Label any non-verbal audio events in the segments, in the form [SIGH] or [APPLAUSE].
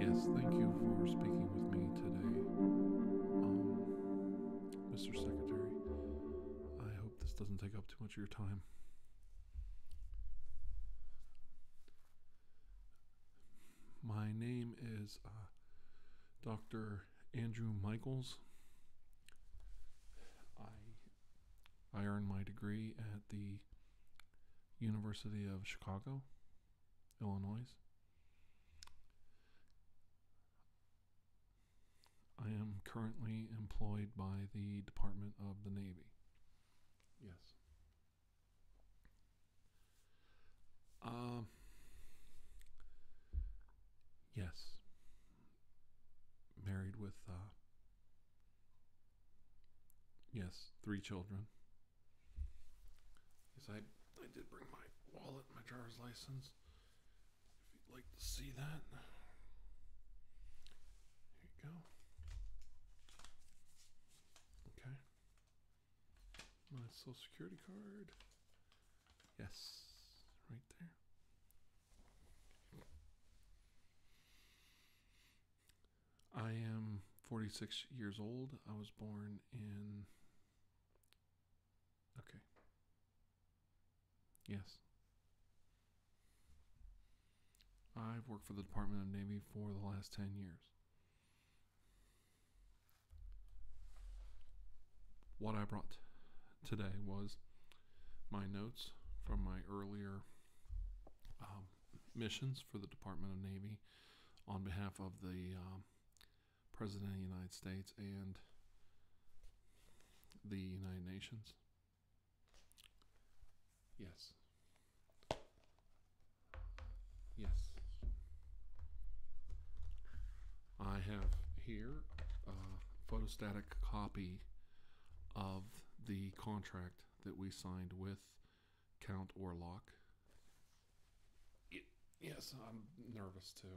Yes, thank you for speaking with me today. Mr. Um, Secretary, I hope this doesn't take up too much of your time. My name is uh, Dr. Andrew Michaels. I I earned my degree at the University of Chicago, Illinois. I am currently employed by the Department of the Navy. Yes. Uh, yes. Married with, uh, yes, three children. Yes, I, I did bring my wallet, my driver's license, if you'd like to see that, here you go. Okay. My social security card. Yes, right there. I am 46 years old. I was born in. Okay. Yes. I've worked for the Department of Navy for the last 10 years. What I brought today was my notes from my earlier um, missions for the Department of Navy on behalf of the um, President of the United States and the United Nations Yes. Yes. I have here a photostatic copy of the contract that we signed with Count Orlock. yes, I'm nervous too.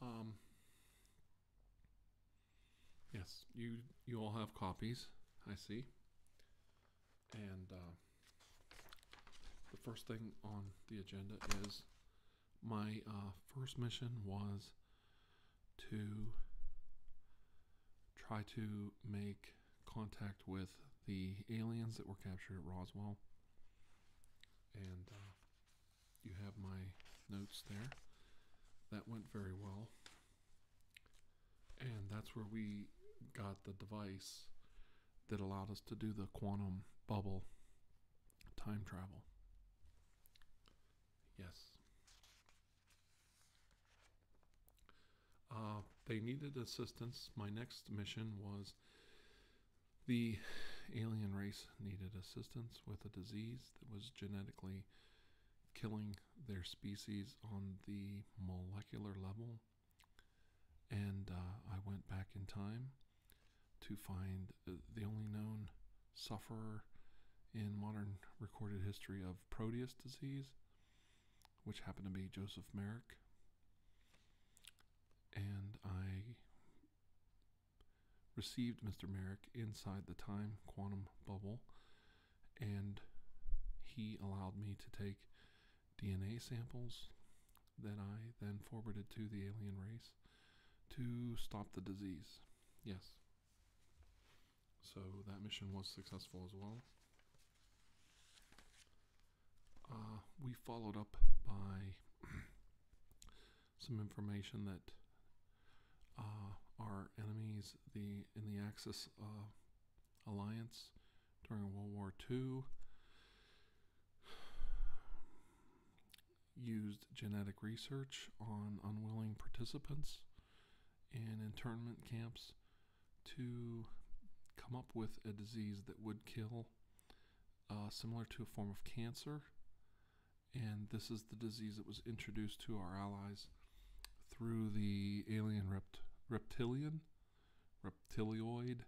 Um, Yes, you you all have copies. I see. And uh, the first thing on the agenda is my uh, first mission was to try to make contact with the aliens that were captured at Roswell. And uh, you have my notes there. That went very well. And that's where we got the device that allowed us to do the quantum bubble time travel. Yes. Uh, they needed assistance. My next mission was the alien race needed assistance with a disease that was genetically killing their species on the molecular level. And uh, I went back in time to find uh, the only known sufferer in modern recorded history of Proteus disease, which happened to be Joseph Merrick. And I received Mr. Merrick inside the time quantum bubble, and he allowed me to take DNA samples that I then forwarded to the alien race to stop the disease. Yes. So that mission was successful as well. Uh, we followed up by some information that uh, our enemies the in the Axis uh, alliance during World War II [SIGHS] used genetic research on unwilling participants in internment camps to come up with a disease that would kill, uh, similar to a form of cancer, and this is the disease that was introduced to our allies through the alien reptilian, reptilioid,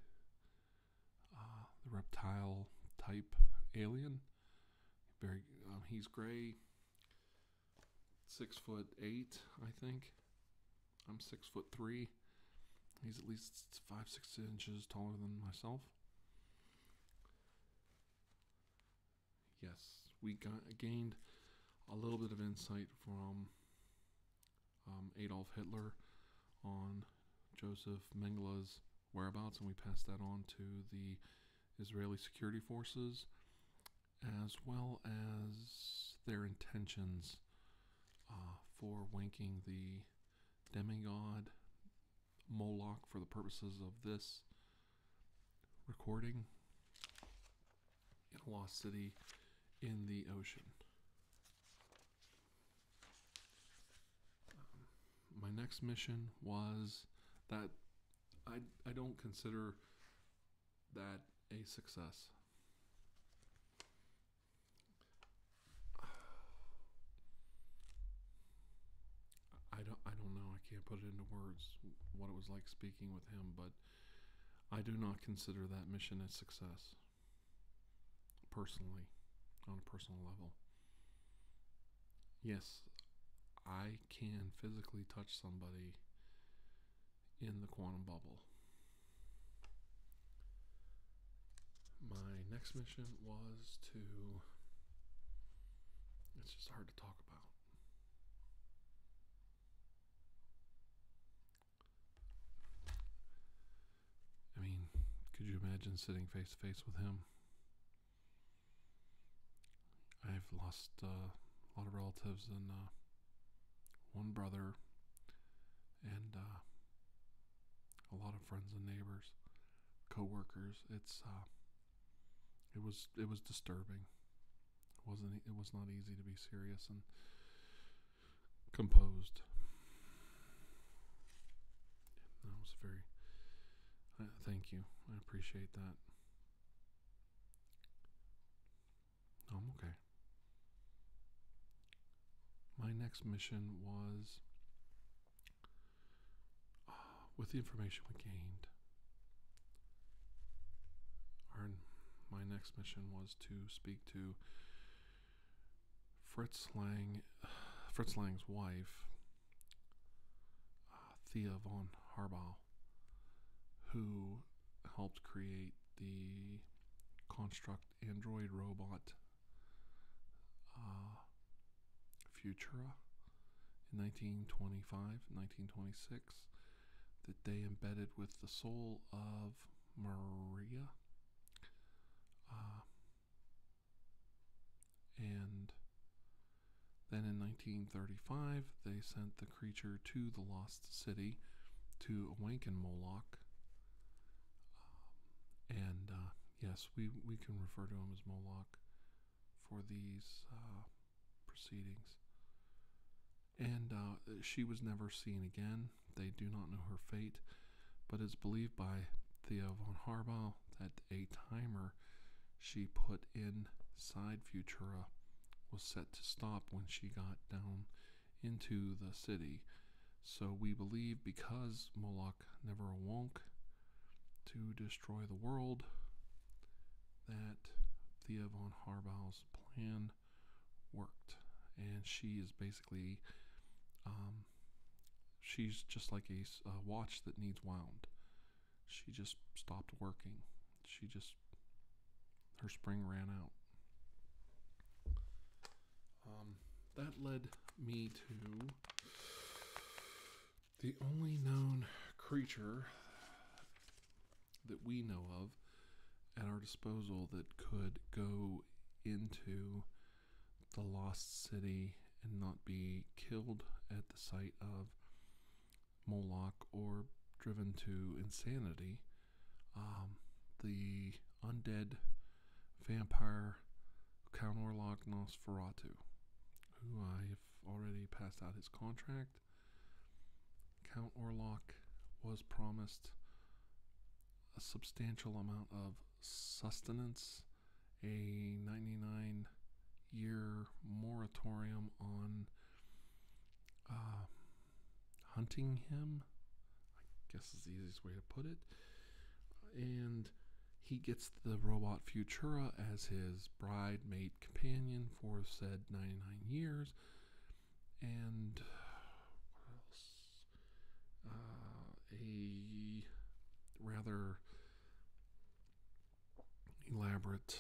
uh, the reptile type alien. Very, um, he's gray, six foot eight, I think. I'm six foot three. He's at least five, six inches taller than myself yes, we gained a little bit of insight from um, Adolf Hitler on Joseph Mengele's whereabouts, and we passed that on to the Israeli security forces, as well as their intentions uh, for winking the demigod Moloch for the purposes of this recording in lost city in the ocean. Um, my next mission was that I, I don't consider that a success. I don't I don't know. I can't put it into words what it was like speaking with him, but I do not consider that mission a success personally on a personal level. Yes, I can physically touch somebody in the quantum bubble. My next mission was to it's just hard to talk about. I mean, could you imagine sitting face to face with him? I've lost uh, a lot of relatives and uh, one brother and uh, a lot of friends and neighbors, co-workers. It's it was it was disturbing. It wasn't it was not easy to be serious and composed. That was very. thank you. I appreciate that. I'm okay. My next mission was Ah, with the information we gained, my next mission was to speak to Fritz [SIGHS] Lang's wife, uh, Thea von Harbaugh, who helped create the construct android robot uh, Futura in 1925, 1926, that they embedded with the soul of Maria. Uh, and then in 1935, they sent the creature to the lost city to awaken Moloch. Um, and uh, yes, we, we can refer to him as Moloch for these uh, proceedings. And uh, she was never seen again. They do not know her fate, but it's believed by Theo von Harbaugh that a timer she put inside Futura was set to stop when she got down into the city. So we believe because Moloch never awoke, to destroy the world, that Thea von Harbaugh's plan worked. And she is basically, um, she's just like a, a watch that needs wound. She just stopped working. She just, her spring ran out. Um, that led me to the only known creature that we know of at our disposal that could go into the lost city and not be killed at the sight of Moloch or driven to insanity. Um, the undead vampire Count Orlok Nosferatu, already passed out his contract. Count Orlok was promised a substantial amount of sustenance, a 99 year moratorium on uh, hunting him, I guess is the easiest way to put it, and he gets the robot Futura as his bride, mate, companion for said 99 years. And uh, uh, a rather elaborate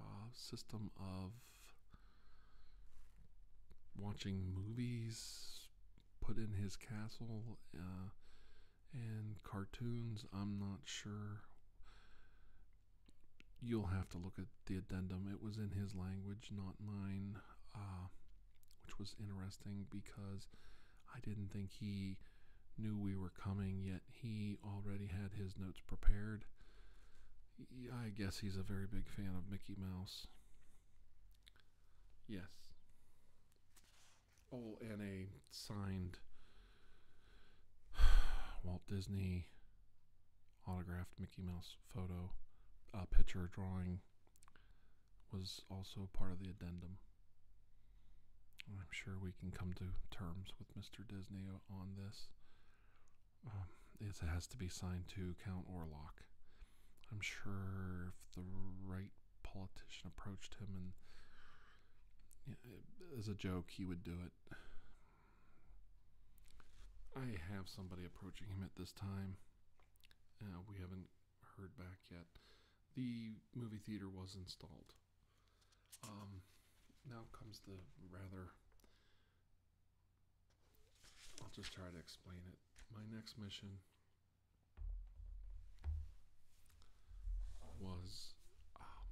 uh, system of watching movies put in his castle and cartoons, I'm not sure. You'll have to look at the addendum. It was in his language, not mine, uh, which was interesting because I didn't think he knew we were coming, yet he already had his notes prepared. I guess he's a very big fan of Mickey Mouse. Yes all in a signed [SIGHS] Walt Disney autographed Mickey Mouse photo, uh, picture drawing was also part of the addendum. I'm sure we can come to terms with Mr. Disney on this. Um, it has to be signed to Count Orlok. I'm sure if the right politician approached him and as a joke he would do it. I have somebody approaching him at this time. Uh, we haven't heard back yet. The movie theater was installed. Um, now comes the rather. I'll just try to explain it. My next mission was um,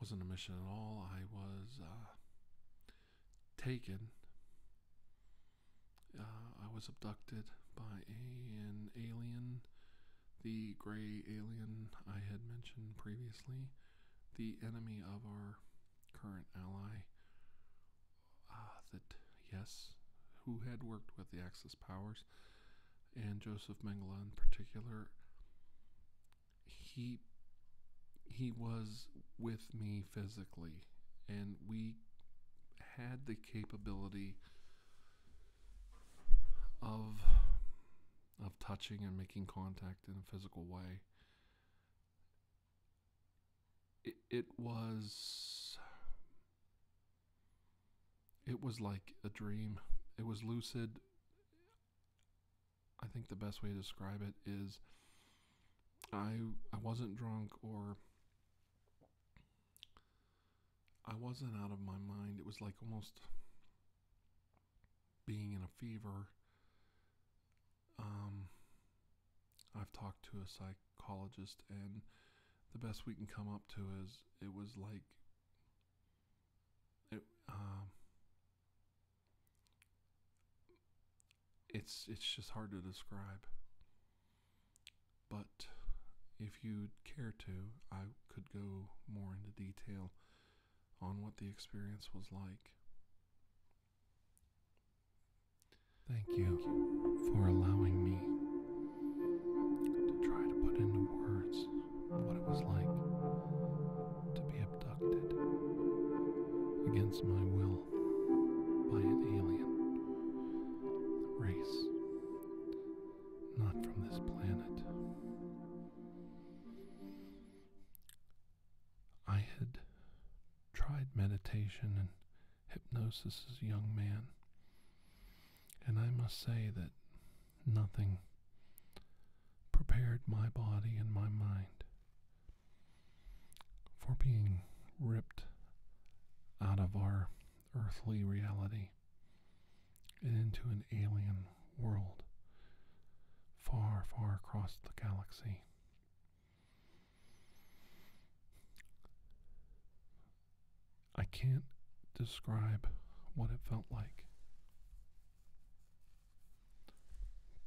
wasn't a mission at all. I was uh, taken. Uh, I was abducted by an alien, the gray alien I had mentioned previously, the enemy of our current ally, Ah, that, yes, who had worked with the Axis powers, and Joseph Mengele in particular, he he was with me physically, and we had the capability of of touching and making contact in a physical way. it was it was like a dream. It was lucid. I think the best way to describe it is I I wasn't drunk or I wasn't out of my mind. It was like almost being in a fever. Um, I've talked to a psych gynecologist, and the best we can come up to is it was like it. Um, it's it's just hard to describe. But if you care to, I could go more into detail on what the experience was like. Thank you for allowing me to try to put into words what it was like to be abducted against my will by an alien race, not from this planet. I had tried meditation and hypnosis as a young man. And I must say that nothing prepared my body and my mind for being ripped out of our earthly reality and into an alien world far, far across the galaxy. I can't describe what it felt like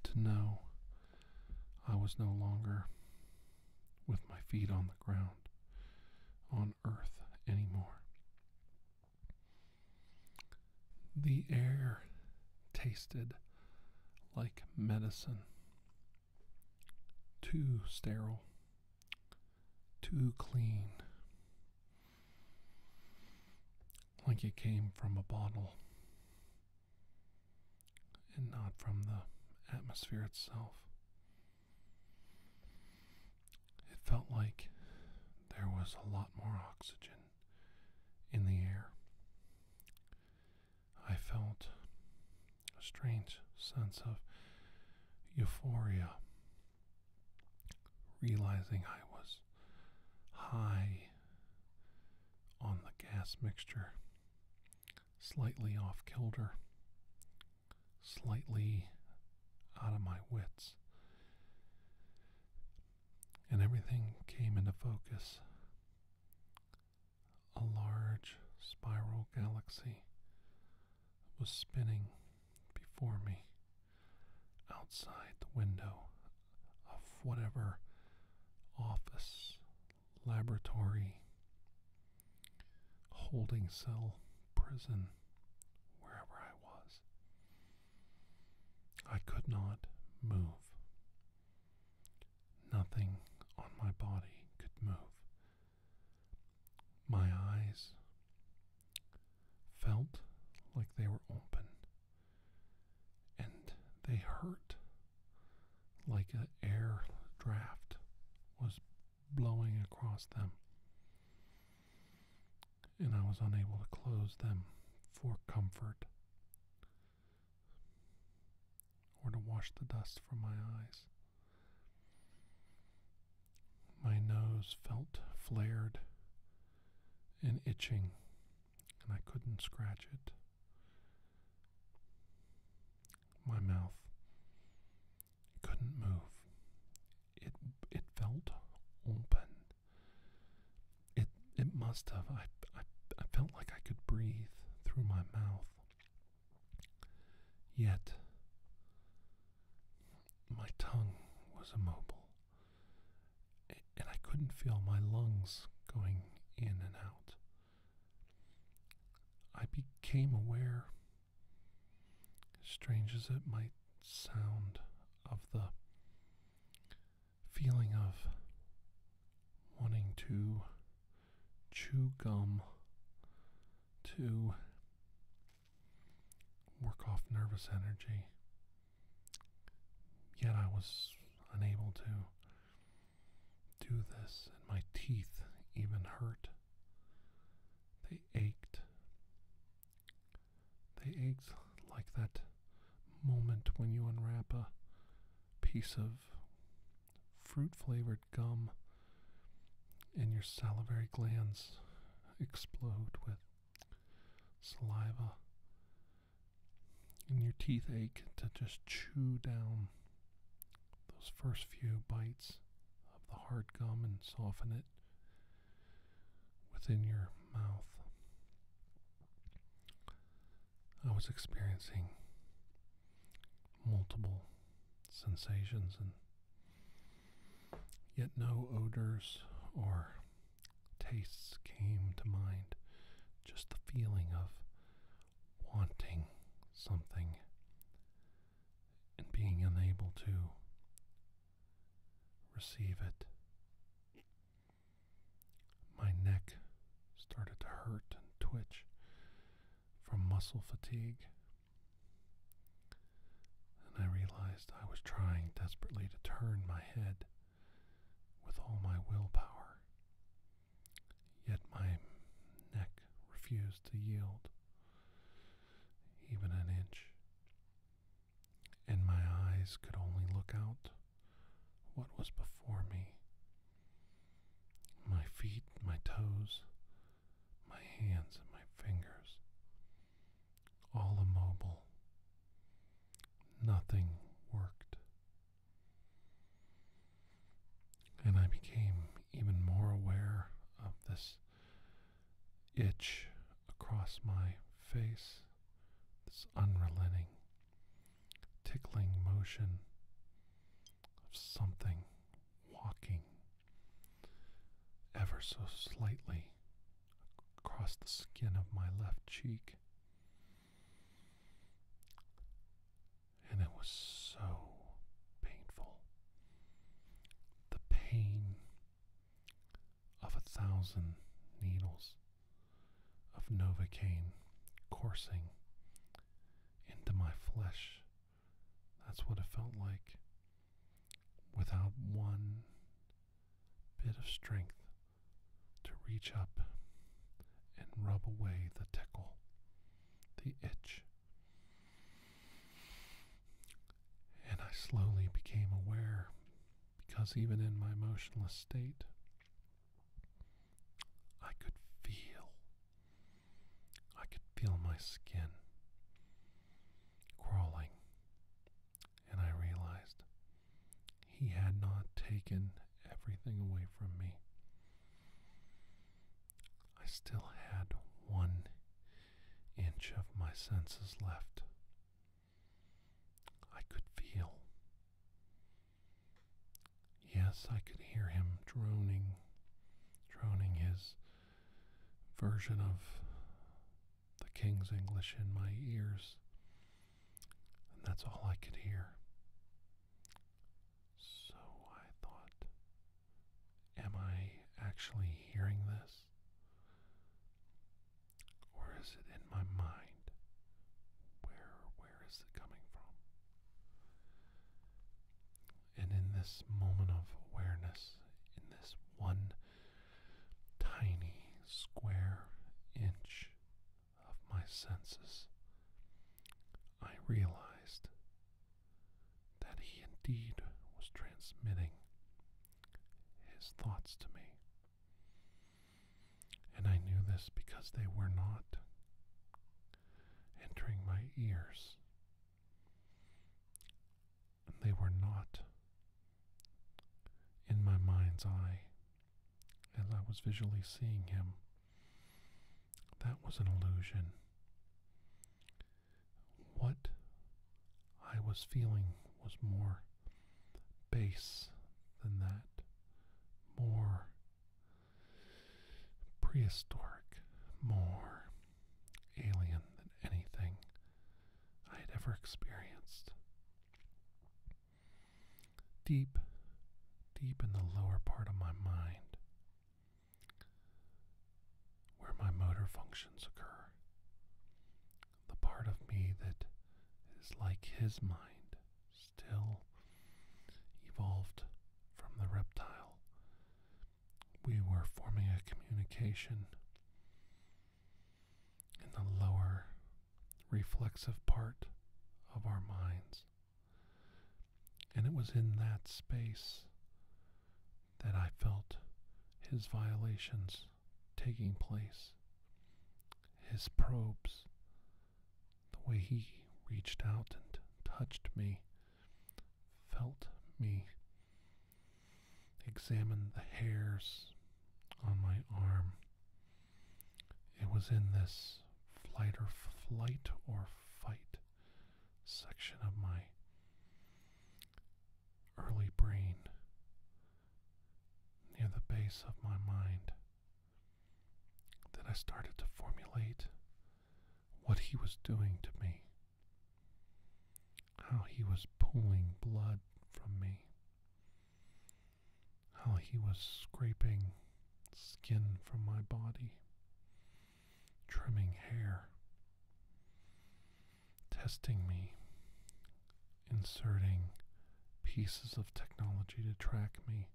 to know I was no longer with my feet on the ground on earth anymore. The air tasted like medicine too sterile, too clean, like it came from a bottle and not from the atmosphere itself. It felt like there was a lot more oxygen in the air. I felt a strange sense of euphoria, realizing I was high on the gas mixture, slightly off kilter, slightly out of my wits. And everything came into focus a large spiral galaxy was spinning before me outside the window of whatever office, laboratory, holding cell, prison, wherever I was. I could not move. Nothing on my body could move my eyes felt like they were open, and they hurt like an air draft was blowing across them. And I was unable to close them for comfort or to wash the dust from my eyes. My nose felt flared and itching, and I couldn't scratch it. My mouth couldn't move. It it felt open. It it must have. I, I I felt like I could breathe through my mouth. Yet, my tongue was immobile, and I couldn't feel my lungs going in and out. I became aware, strange as it might sound, of the feeling of wanting to chew gum to work off nervous energy. Yet I was unable to do this, and my teeth even hurt. They ached. They ached like that moment when you unwrap a piece of fruit flavored gum, and your salivary glands explode with saliva, and your teeth ache to just chew down those first few bites of the hard gum and soften it within your mouth. I was experiencing multiple sensations and yet no odors or tastes came to mind. Just the feeling of wanting something and being unable to receive it. My neck started to hurt and twitch from muscle fatigue. And I realized I was trying desperately to turn my head with all my willpower, yet my neck refused to yield even an inch, and my eyes could only look out what was before me my feet, my toes, my hands, and my fingers, all immobile. Nothing worked. And I became even more aware of this itch across my face, this unrelenting, tickling motion of something walking ever so slightly across the skin of my left cheek. And it was so painful. The pain of a thousand needles of Novocaine coursing into my flesh that's what it felt like without one bit of strength to reach up and rub away the tickle, the itch. And I slowly became aware, because even in my motionless state, I could feel I could feel my skin crawling, and I realized he had not taken everything away from me. I still had one inch of my senses left. I could feel. Yes, I could hear him droning, droning his version of the King's English in my ears. And that's all I could hear. So I thought, am I actually hearing this? Or is it in my mind? Where where is it coming from? and in this moment of awareness, in this one tiny square inch of my senses, I realized that he indeed was transmitting his thoughts to me. And I knew this because they were not entering my ears they were not in my mind's eye as I was visually seeing him. That was an illusion. What I was feeling was more base than that, more prehistoric, more alien than anything I had ever experienced. Deep, deep in the lower part of my mind, where my motor functions occur, the part of me that is like his mind, still evolved from the reptile we were forming a communication in the lower reflexive part of our minds. And it was in that space that I felt his violations taking place, his probes, the way he reached out and touched me felt me examine the hairs on my arm. It was in this flight or flight or fight section of my early brain near the base of my mind that I started to formulate what he was doing to me, how he was pulling blood from me, how he was scraping skin from my body, trimming hair, testing me, inserting pieces of technology to track me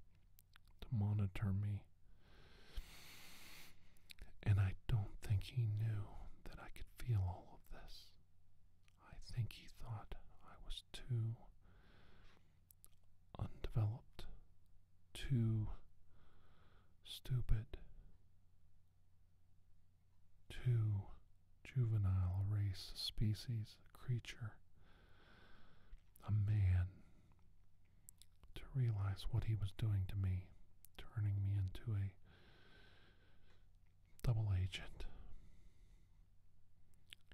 to monitor me. And I don't think he knew that I could feel all of this. I think he thought I was too undeveloped, too stupid, too juvenile a race, species, creature, a man to realize what he was doing to me, turning me into a double agent.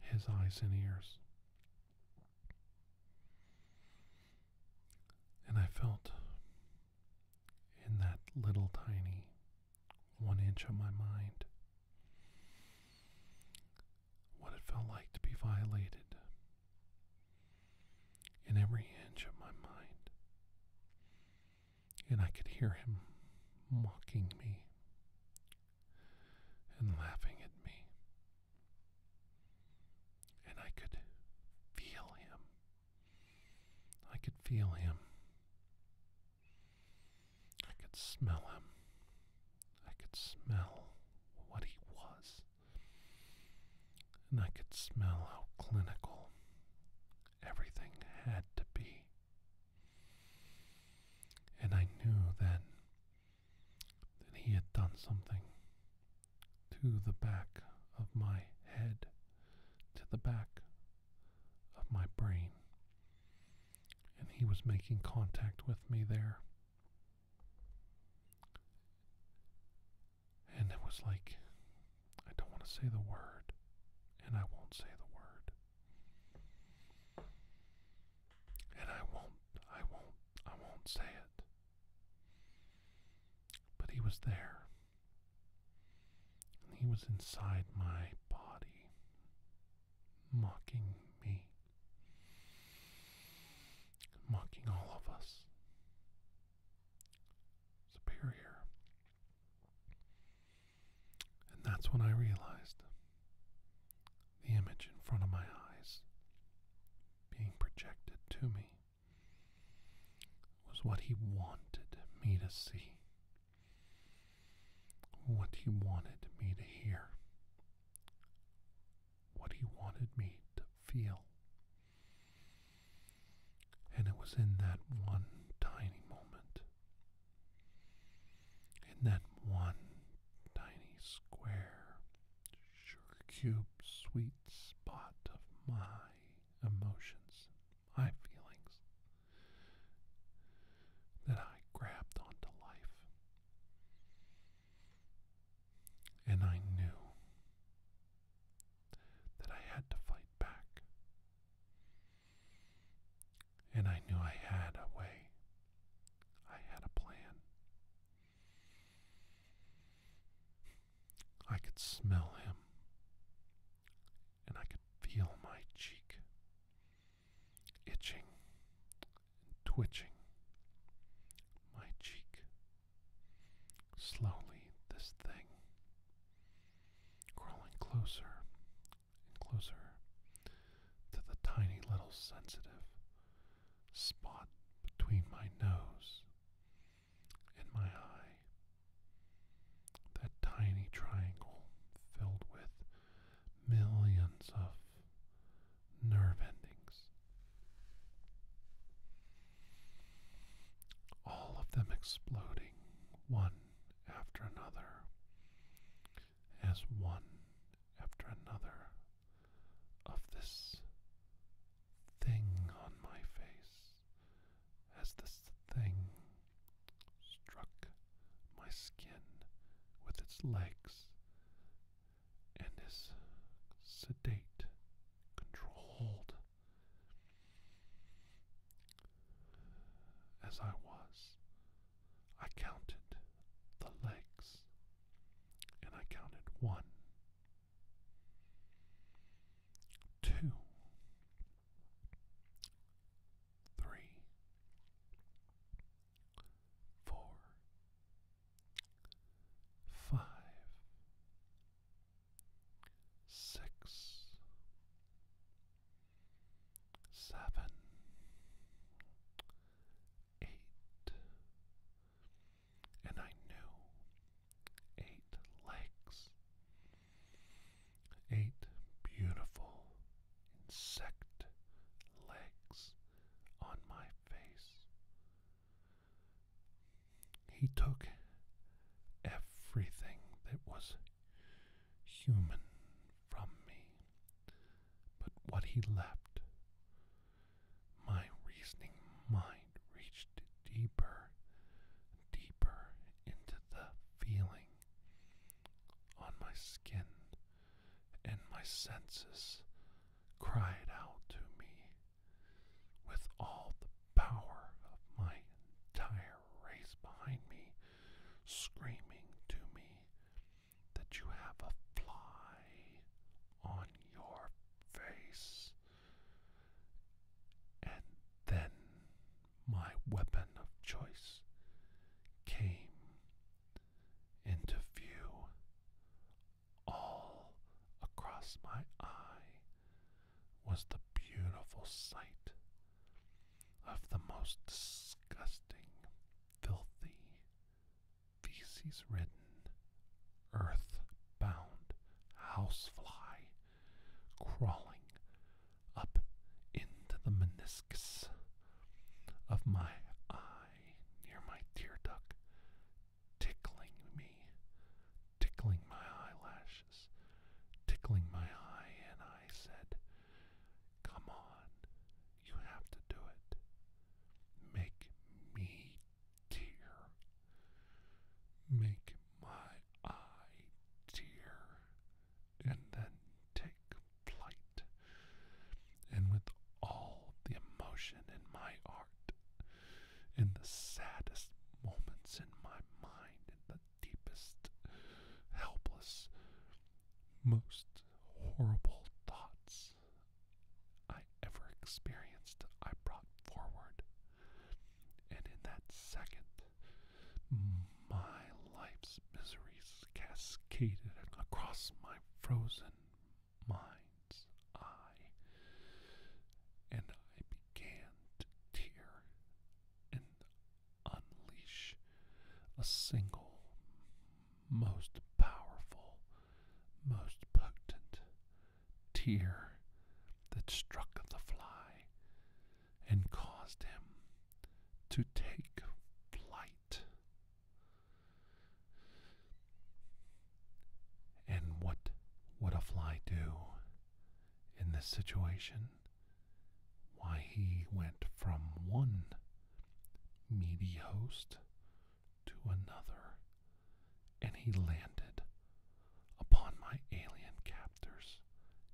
His eyes and ears. And I felt in that little tiny one inch of my mind what it felt like to be violated in every inch of my mind. And I could hear him mocking me and laughing at me. And I could feel him. I could feel him. I could smell him. I could smell what he was and I could smell how clinical everything had to be. And I knew then that he had done something to the back of my head, to the back of my brain. And he was making contact with me there. And it was like, I don't want to say the word, and I won't say the word. And I won't, I won't, I won't say it. But he was there. And he was inside my body, mocking me mocking all of us. Superior. And that's when I realized the image in front of my eyes being projected to me was what he wanted me to see, what he wanted me to hear, what he wanted me to feel. And it was in that one tiny moment, in that one tiny square, sugar cube sweet spot of my emotions, my feelings, that I grabbed onto life. And I knew that I had to fight back. And I knew I had a way, I had a plan. I could smell him, and I could feel my cheek itching twitching. My cheek Slowly, this thing, crawling closer and closer to the tiny little sensitive spot between my nose and my eye. That tiny triangle filled with millions of nerve endings. All of them exploding one after another, as one after another of this thing on my face, as this thing struck my skin with its legs and is sedate, controlled, as I was. I counted the legs, and I counted one, two, three, four, five, six, seven, eight, and I knew eight legs, eight beautiful insect legs on my face he took everything that was human from me, but what he left, my reasoning mind reached deeper, deeper into the feeling on my skin, and my senses cried out to me with all the power of my entire race behind me, screaming to me that you have a fly on your face. And then my weapon of choice came into view all across my eye was the beautiful sight of the most disgusting, filthy, feces ridden, earth bound housefly crawling up into the meniscus of my eye near my tear duct tickling me, tickling my eyelashes, tickling my eye, and I said, Come on, you have to do it. Make me tear. Make my eye tear, and then take flight. And with all the emotion in my in the saddest moments in my mind, in the deepest, helpless, most horrible thoughts I ever experienced, I brought forward. And in that second, my life's miseries cascaded across my frozen mind's eye, and I began to tear and unleash a single, most powerful, most potent tear that struck the fly and caused him to take flight. And what would a fly do in this situation? Why he went from one meaty host to another, and he landed upon my alien captor's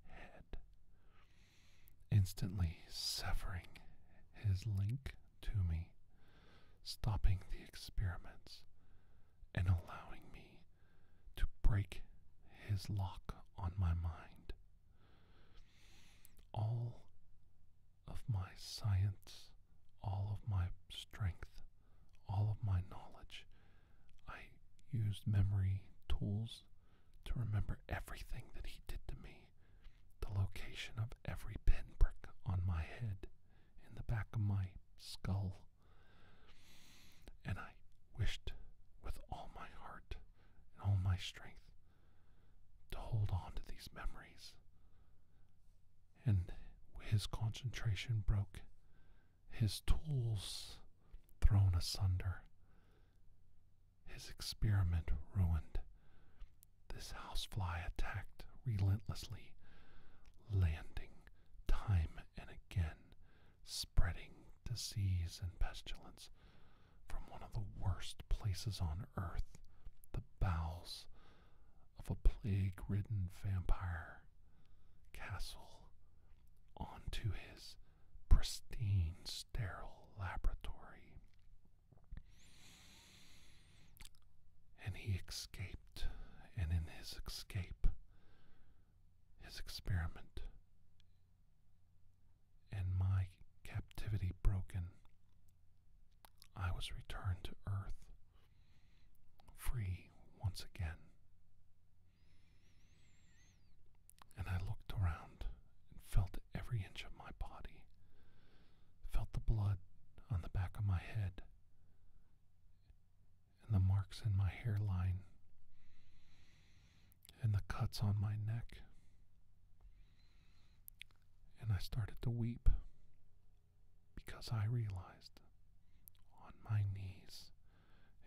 head, instantly severing his link to me stopping the experiments and allowing me to break his lock on my mind. All of my science, all of my strength, all of my knowledge, I used memory tools to remember everything that he did to me, the location of every pinprick on my head, in the back of my skull. And I wished with all my heart and all my strength to hold on to these memories. And his concentration broke, his tools thrown asunder, his experiment ruined. This housefly attacked relentlessly landing time and again, spreading disease and pestilence from one of the worst places on earth, the bowels of a plague ridden vampire castle, onto his pristine, sterile laboratory and he escaped, and in his escape, his experiment, and my captivity broken, I was returned to earth, free once again. And I looked around and felt every inch of my body, felt the blood on the back of my head, and the marks in my hairline and the cuts on my neck. And I started to weep because I realized on my knees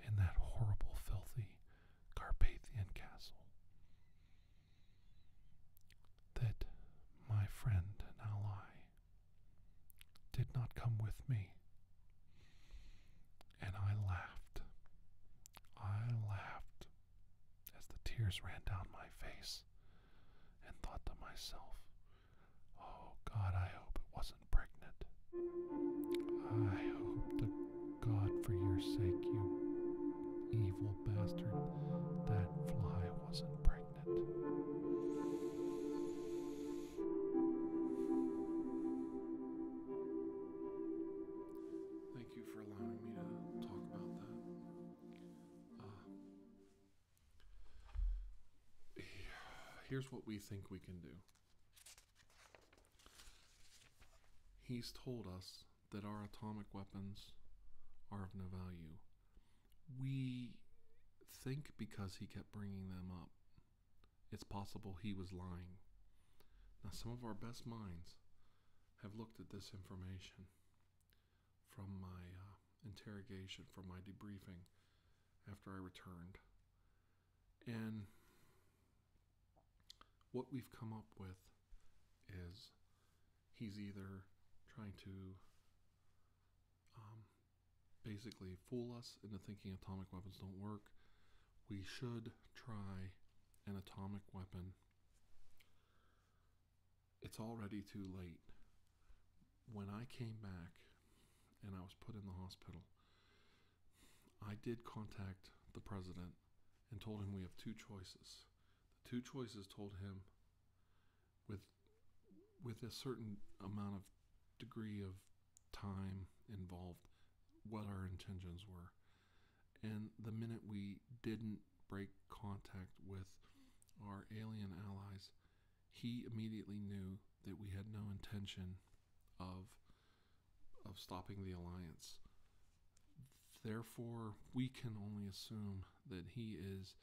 in that horrible, filthy Carpathian castle that my friend and ally did not come with me. And I laughed. I laughed as the tears ran down my face and thought to myself, Oh God, I hope it wasn't pregnant. I hope to God, for your sake, you evil bastard, that fly wasn't pregnant. Thank you for allowing me to talk about that. Uh, here's what we think we can do. He's told us that our atomic weapons are of no value we think because he kept bringing them up, it's possible he was lying. Now, some of our best minds have looked at this information from my uh, interrogation, from my debriefing after I returned. And what we've come up with is he's either trying to um, basically fool us into thinking atomic weapons don't work, we should try an atomic weapon. It's already too late. When I came back and I was put in the hospital, I did contact the president and told him we have two choices. The two choices told him with with a certain amount of degree of time involved what our intentions were. And the minute we didn't break contact with our alien allies, he immediately knew that we had no intention of of stopping the alliance. Therefore, we can only assume that he is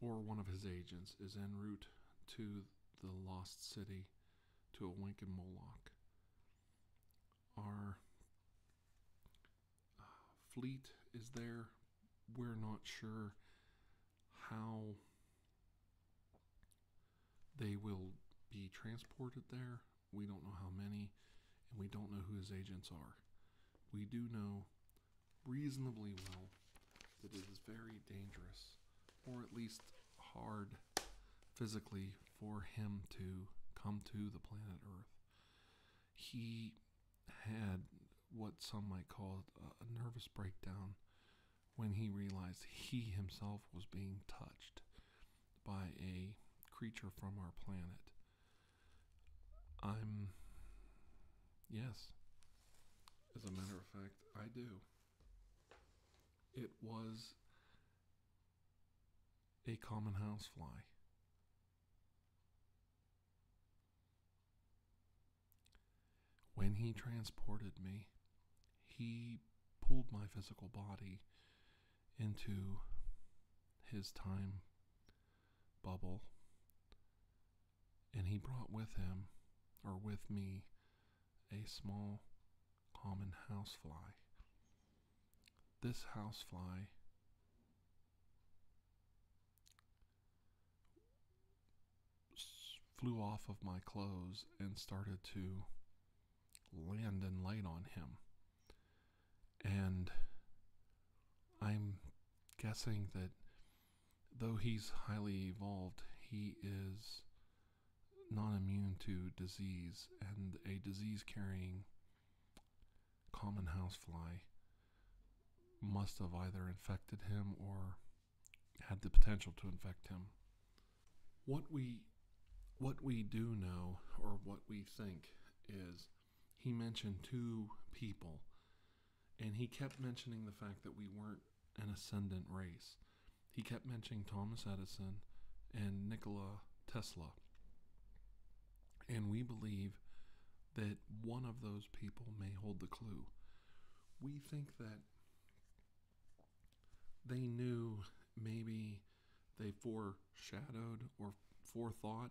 or one of his agents is en route to the lost city to awaken Moloch. Our uh, fleet is there. We're not sure how they will be transported there. We don't know how many, and we don't know who his agents are. We do know reasonably well that it is very dangerous, or at least hard physically, for him to come to the planet Earth. He had what some might call a nervous breakdown when he realized he himself was being touched by a creature from our planet. I'm. Yes, as a matter of fact, I do. It was a common housefly. When he transported me, he pulled my physical body into his time bubble and he brought with him, or with me, a small common housefly. This housefly flew off of my clothes and started to land and light on him. And I'm guessing that though he's highly evolved, he is not immune to disease, and a disease carrying common housefly must have either infected him or had the potential to infect him. What we what we do know or what we think is he mentioned two people and he kept mentioning the fact that we weren't an ascendant race. He kept mentioning Thomas Edison and Nikola Tesla. And we believe that one of those people may hold the clue. We think that they knew maybe they foreshadowed or forethought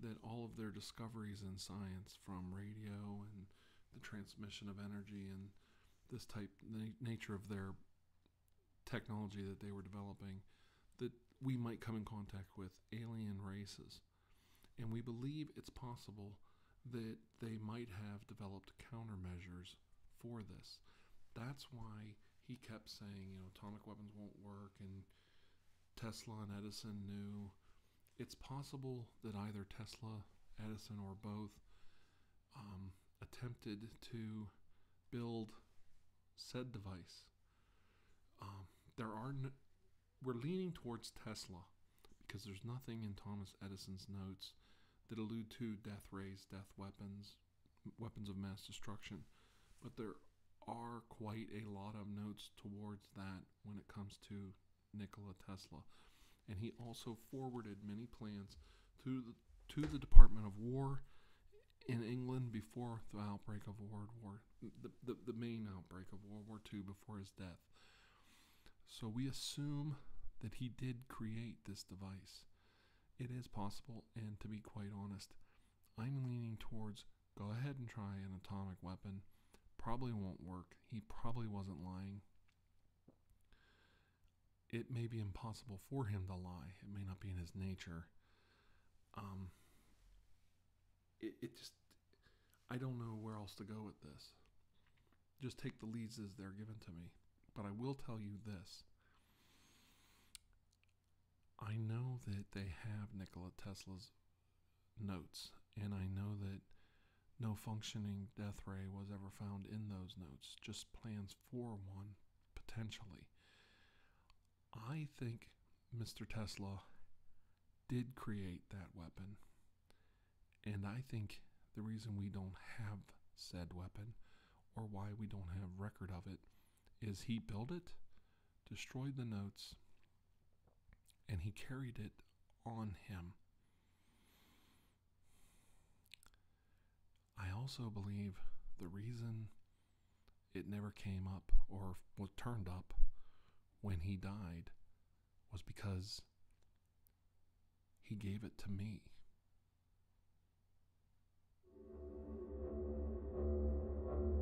that all of their discoveries in science from radio and the transmission of energy and this type the nature of their technology that they were developing that we might come in contact with alien races and we believe it's possible that they might have developed countermeasures for this that's why he kept saying you know atomic weapons won't work and tesla and edison knew it's possible that either Tesla, Edison, or both um, attempted to build said device. Um, there are we're leaning towards Tesla because there's nothing in Thomas Edison's notes that allude to death rays, death weapons, weapons of mass destruction, but there are quite a lot of notes towards that when it comes to Nikola Tesla. And he also forwarded many plans to the, to the Department of War in England before the outbreak of World War, the, the, the main outbreak of World War II before his death. So we assume that he did create this device. It is possible, and to be quite honest, I'm leaning towards go ahead and try an atomic weapon. Probably won't work. He probably wasn't lying. It may be impossible for him to lie. It may not be in his nature. Um, it, just, I don't know where else to go with this. Just take the leads as they're given to me. But I will tell you this. I know that they have Nikola Tesla's notes, and I know that no functioning death ray was ever found in those notes, just plans for one, potentially. I think Mr. Tesla did create that weapon, and I think the reason we don't have said weapon or why we don't have record of it is he built it, destroyed the notes, and he carried it on him. I also believe the reason it never came up or was turned up when he died was because he gave it to me.